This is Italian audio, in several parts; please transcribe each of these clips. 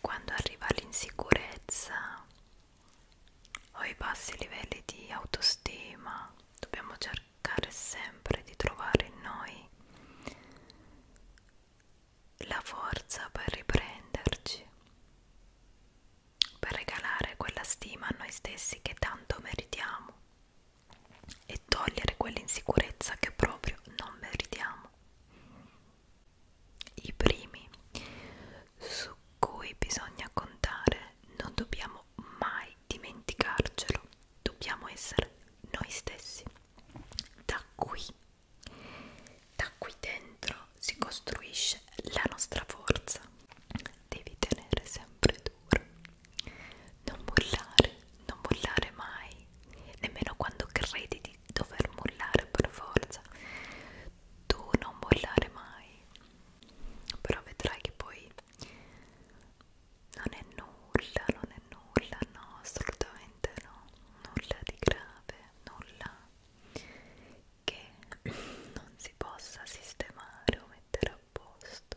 Quando arriva l'insicurezza o i bassi livelli di autostima, dobbiamo cercare sempre di trovare in noi la forza per riprenderci, per regalare quella stima a noi stessi che tanto meritiamo e togliere quell'insicurezza che proprio non meritiamo. I primi su cui bisogna contare non dobbiamo mai dimenticarcelo, dobbiamo essere noi stessi. Da qui, da qui dentro si costruisce la nostra forza. Devi tenere sempre duro, non mollare, non mollare mai, nemmeno quando credi di di dover mollare per forza tu non mollare mai però vedrai che poi non è nulla non è nulla no assolutamente no nulla di grave nulla che non si possa sistemare o mettere a posto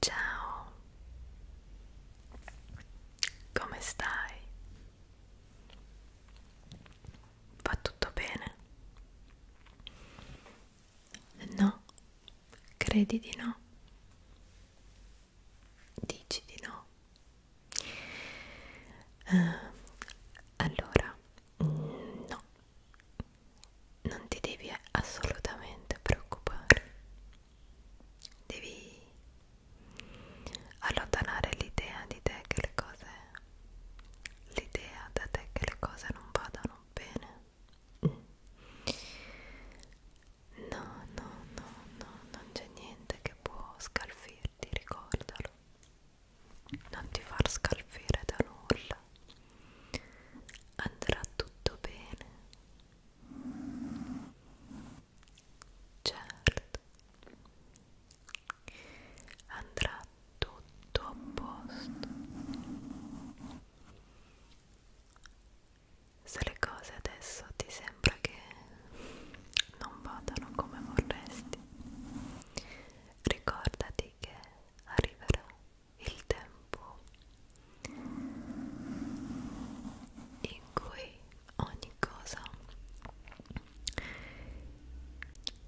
Ciao, come stai? Va tutto bene? No, credi di no? Dici di no? Uh, allora, no, non ti devi assolutamente preoccupare devi allontanare l'idea di te che le cose l'idea da te che le cose non vadano bene no no no no non c'è niente che può scalfirti ricordalo non ti far scalfire da nulla andrà tutto bene certo andrà tutto a posto se le cose adesso ti sembra che non vadano come vorresti ricordati che arriverà il tempo in cui ogni cosa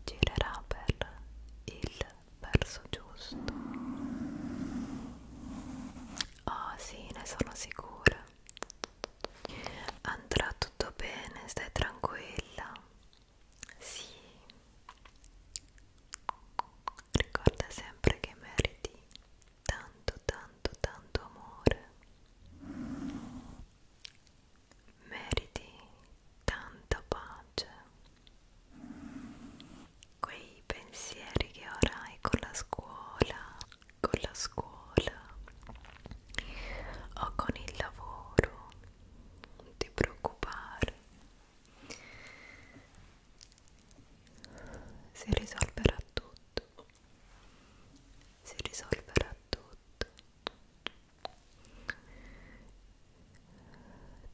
girerà per il verso giusto. Oh sì, ne sono sicura. Andrà tutto bene, stai tranquilla. Sì. Ricorda sempre che meriti tanto tanto tanto amore meriti tanta pace quei pensieri che ora hai con la scuola con la scuola o con il lavoro non ti preoccupare si risolverà tutto si risolverà tutto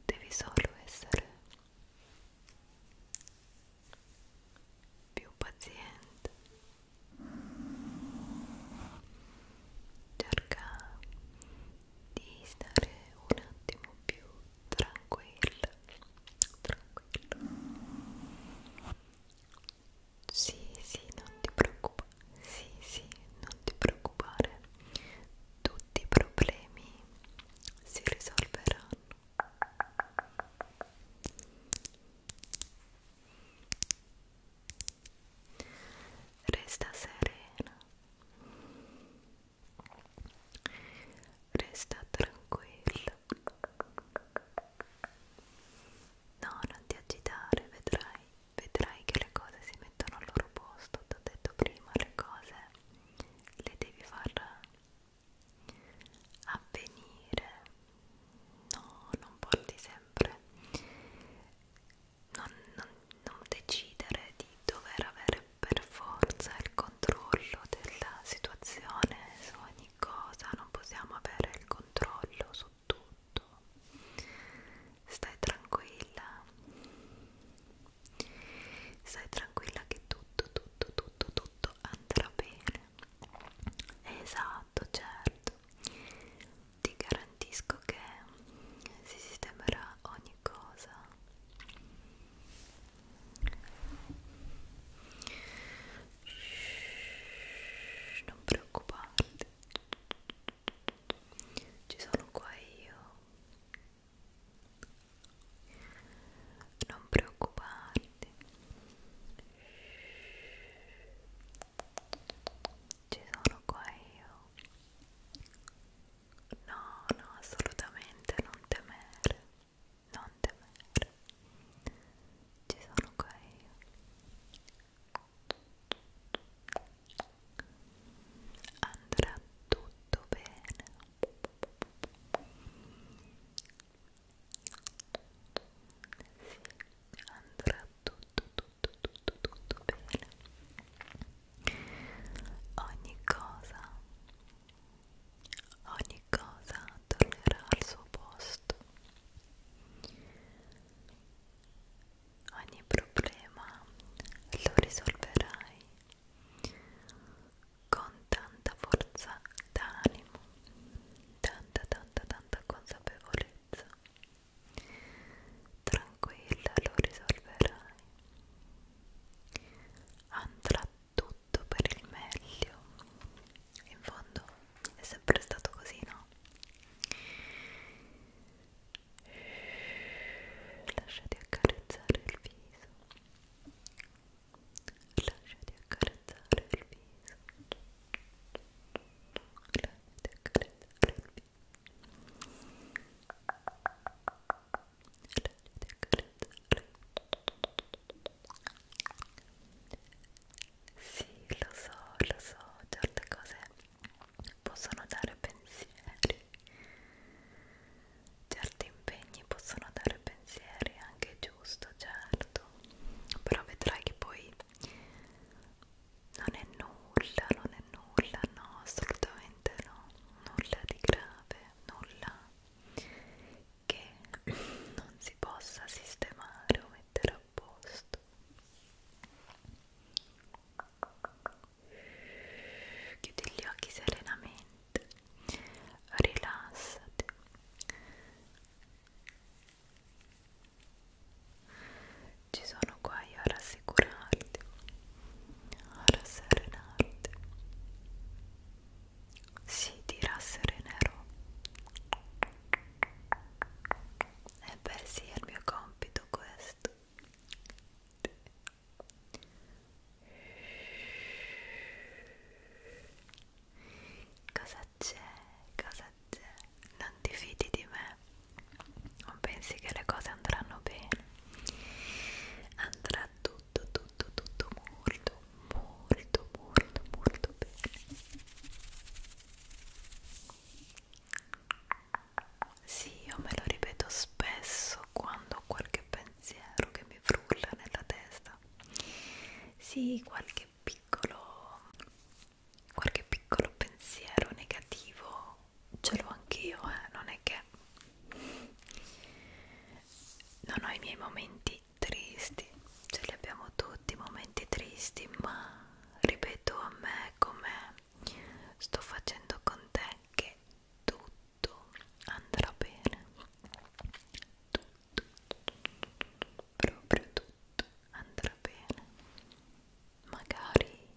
devi solo essere più paziente cerca di stare un attimo più tranquilla tranquilla tranquillo sì sì non ti preoccupare sì sì non ti preoccupare tutti i problemi si risolveranno Resta serena, resta tranquilla, No, non ti agitare, vedrai, vedrai che le cose si mettono al loro posto. Ti ho detto prima, le cose le devi far avvenire. No, non porti sempre. Non, non, non decidere di dover avere per forza il il controllo della situazione su ogni cosa, non possiamo avere il controllo su tutto. Stai tranquilla, stai tranquilla che tutto, tutto, tutto, tutto andrà bene. Esatto, certo. Ti garantisco che si sistemerà ogni cosa. Shhh, non preoccuparti ci sono qua io non preoccuparti ci sono qua io no no assolutamente non temere non temere, ci sono qua io. Andrà tutto bene. Sì, andrà tutto, tutto, tutto, tutto bene. Ogni cosa ogni cosa tornerà al suo posto, ogni problema lo risolverai con tanta forza d'animo, tanta tanta tanta consapevolezza. Tranquilla lo risolverai. Andrà tutto per il meglio. In fondo è sempre stato così, no? Lasciati accarezzare il viso. Lasciati accarezzare il viso. Lasciati accarezzare il viso. Sì, lo so, lo so, certe cose possono dare pensieri, certi impegni possono dare pensieri, anche giusto, certo, però vedrai che poi non è nulla, non è nulla, no, assolutamente no, nulla di grave, nulla che non si possa sistemare o mettere a posto chiudi gli occhi serenamente rilassati ci sono qua io a rassicurarti a rasserenarti si dirà serenero e beh sì è il mio compito questo cosa c'è? cosa c'è? non ti fidi di me non pensi che le cose andranno bene andrà tutto tutto, tutto, tutto molto, molto, molto, molto bene. Sì, io me lo ripeto spesso quando ho qualche pensiero che mi frulla nella testa. Sì, qualche piccolo, qualche piccolo pensiero negativo ce l'ho anch'io, eh? non è che non ho i miei momenti tristi, ce li abbiamo tutti, momenti tristi, ma ripeto a me come sto facendo con te che tutto andrà bene. Tutto, tutto proprio tutto andrà bene. Magari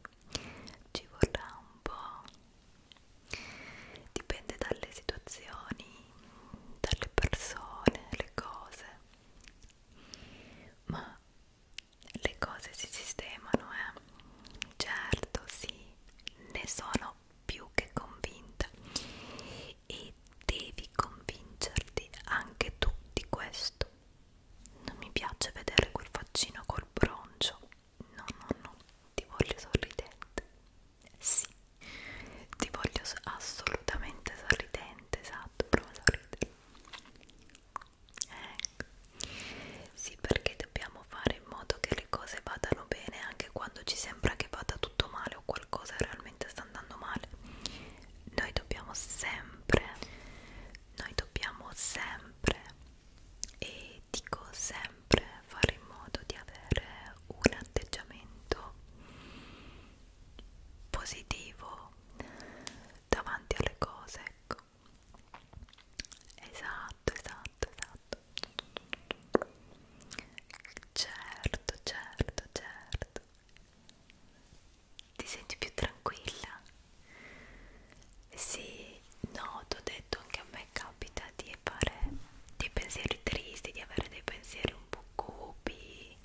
ci vorrà un po' dipende dalle situazioni, dalle persone, le cose, ma le cose si sistemano, eh? Certo, sì, ne sono più che convinta e devi convincerti anche tu di questo. Non mi piace vedere quel faccino col broncio. No, no, no, ti voglio sorridente. Sì, ti voglio assolutamente sorridente, esatto, prova a sorridere. Ecco. Sì, perché dobbiamo fare in modo che le cose vadano bene anche quando ci sembra che vada tutto male o qualcosa realmente sta andando male. Noi dobbiamo sempre, noi dobbiamo sempre, e dico sempre, fare in modo di avere un atteggiamento positivo davanti alle cose ecco esatto esatto esatto certo certo certo ti senti più tranquilla? Sì, no, ti ho detto anche a me capita di fare dei pensieri tristi, di avere dei pensieri un po' cupi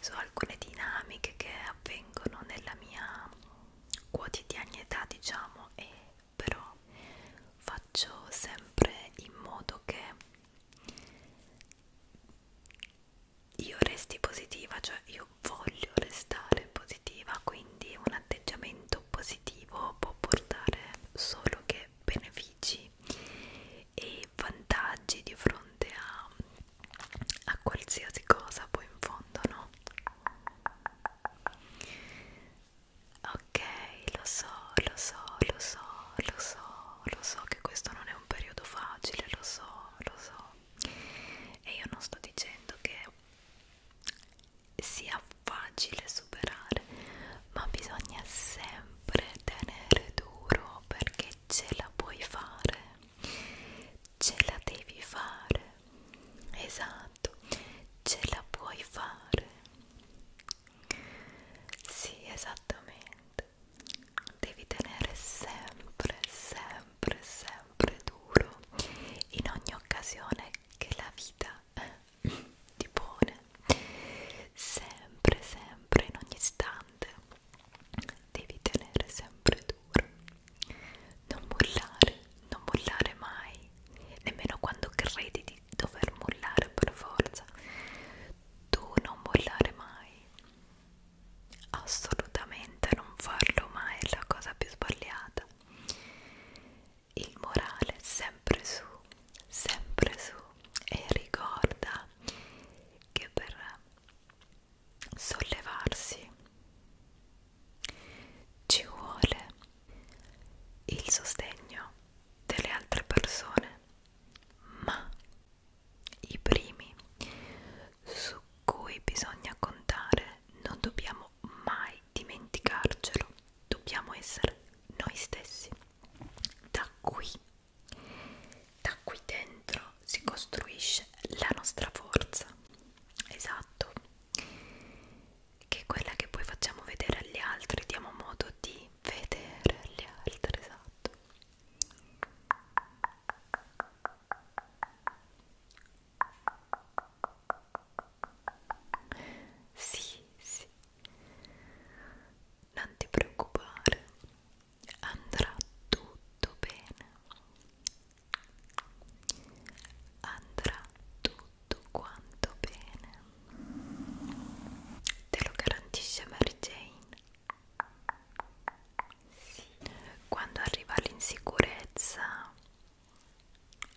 su alcune dinamiche che avvengono nella mia quotidianità, diciamo, e però faccio sempre in modo che io resti positiva, cioè io voglio restare positiva, quindi un atteggiamento positivo può portare solo che benefici benefici e vantaggi di fronte a, a qualsiasi cosa poi in fondo no ok lo so lo so lo so lo so lo so che questo non è un periodo facile lo so lo so e io non sto dicendo che sia facile superare ma bisogna sempre tenere duro perché ce la puoi fare ce la devi fare esatto ce la puoi fare sì esattamente devi tenere sempre sempre sempre duro in ogni occasione che la vita eh, ti pone sempre sempre in ogni istante devi tenere sempre duro non mollare non mollare mai nemmeno quando credi di dover mollare per forza tu non mollare mai assolutamente non farlo mai è la cosa più sbagliata il morale sempre su, sempre su e ricorda che per sollevarsi ci vuole il sostegno delle altre persone, ma i primi su cui bisogna contare non dobbiamo mai dimenticarcelo, dobbiamo essere noi stessi da qui da qui dentro si costruisce la nostra forza esatto che è quella che poi facciamo vedere agli altri diamo modo di vedere agli altri esatto sì sì non ti preoccupare, andrà tutto bene. Andrà tutto quanto bene. Te lo garantisce Mary Jane. Quando arriva l'insicurezza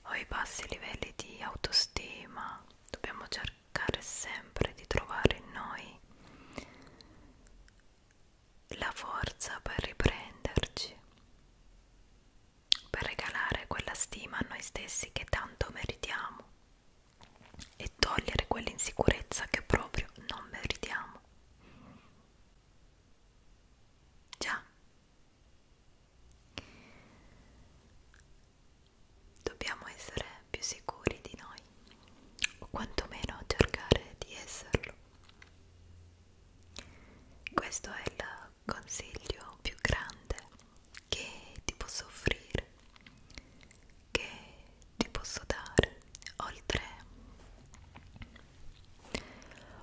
o i bassi livelli di autostima, dobbiamo cercare cercare sempre di trovare in noi la forza per riprenderci, per regalare quella stima a noi stessi che tanto meritiamo e togliere quell'insicurezza che proprio non meritiamo. Già, Dobbiamo essere più sicuri di noi, o quantomeno cercare di esserlo. Questo è il consiglio più grande che ti posso offrire, che ti posso dare, oltre,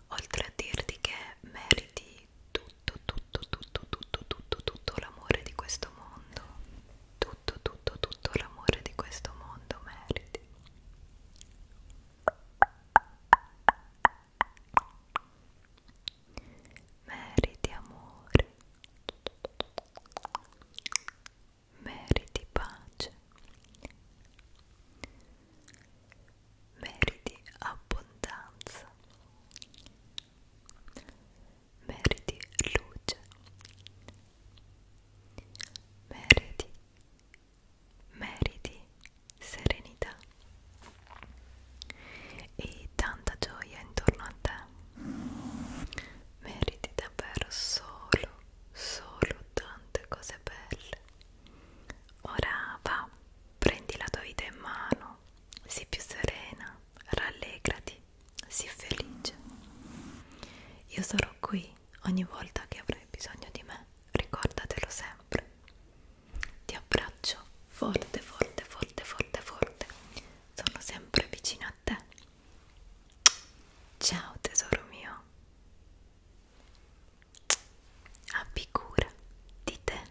oltre a dirti che meriti tutto, tutto, tutto, tutto, tutto, tutto l'amore di questo mondo, tutto, tutto, tutto l'amore di questo mondo meriti. Meriti amore, meriti pace, meriti abbondanza, meriti luce meriti meriti serenità e tanta gioia intorno a te meriti davvero solo solo tante cose belle ora va prendi la tua vita in mano sii più serena rallegrati, sii felice. Io sarò qui ogni volta che avrai bisogno di me, ricordatelo sempre. Ti abbraccio forte, forte, forte, forte, forte. Sono sempre vicino a te. Ciao tesoro mio. Abbi cura di te.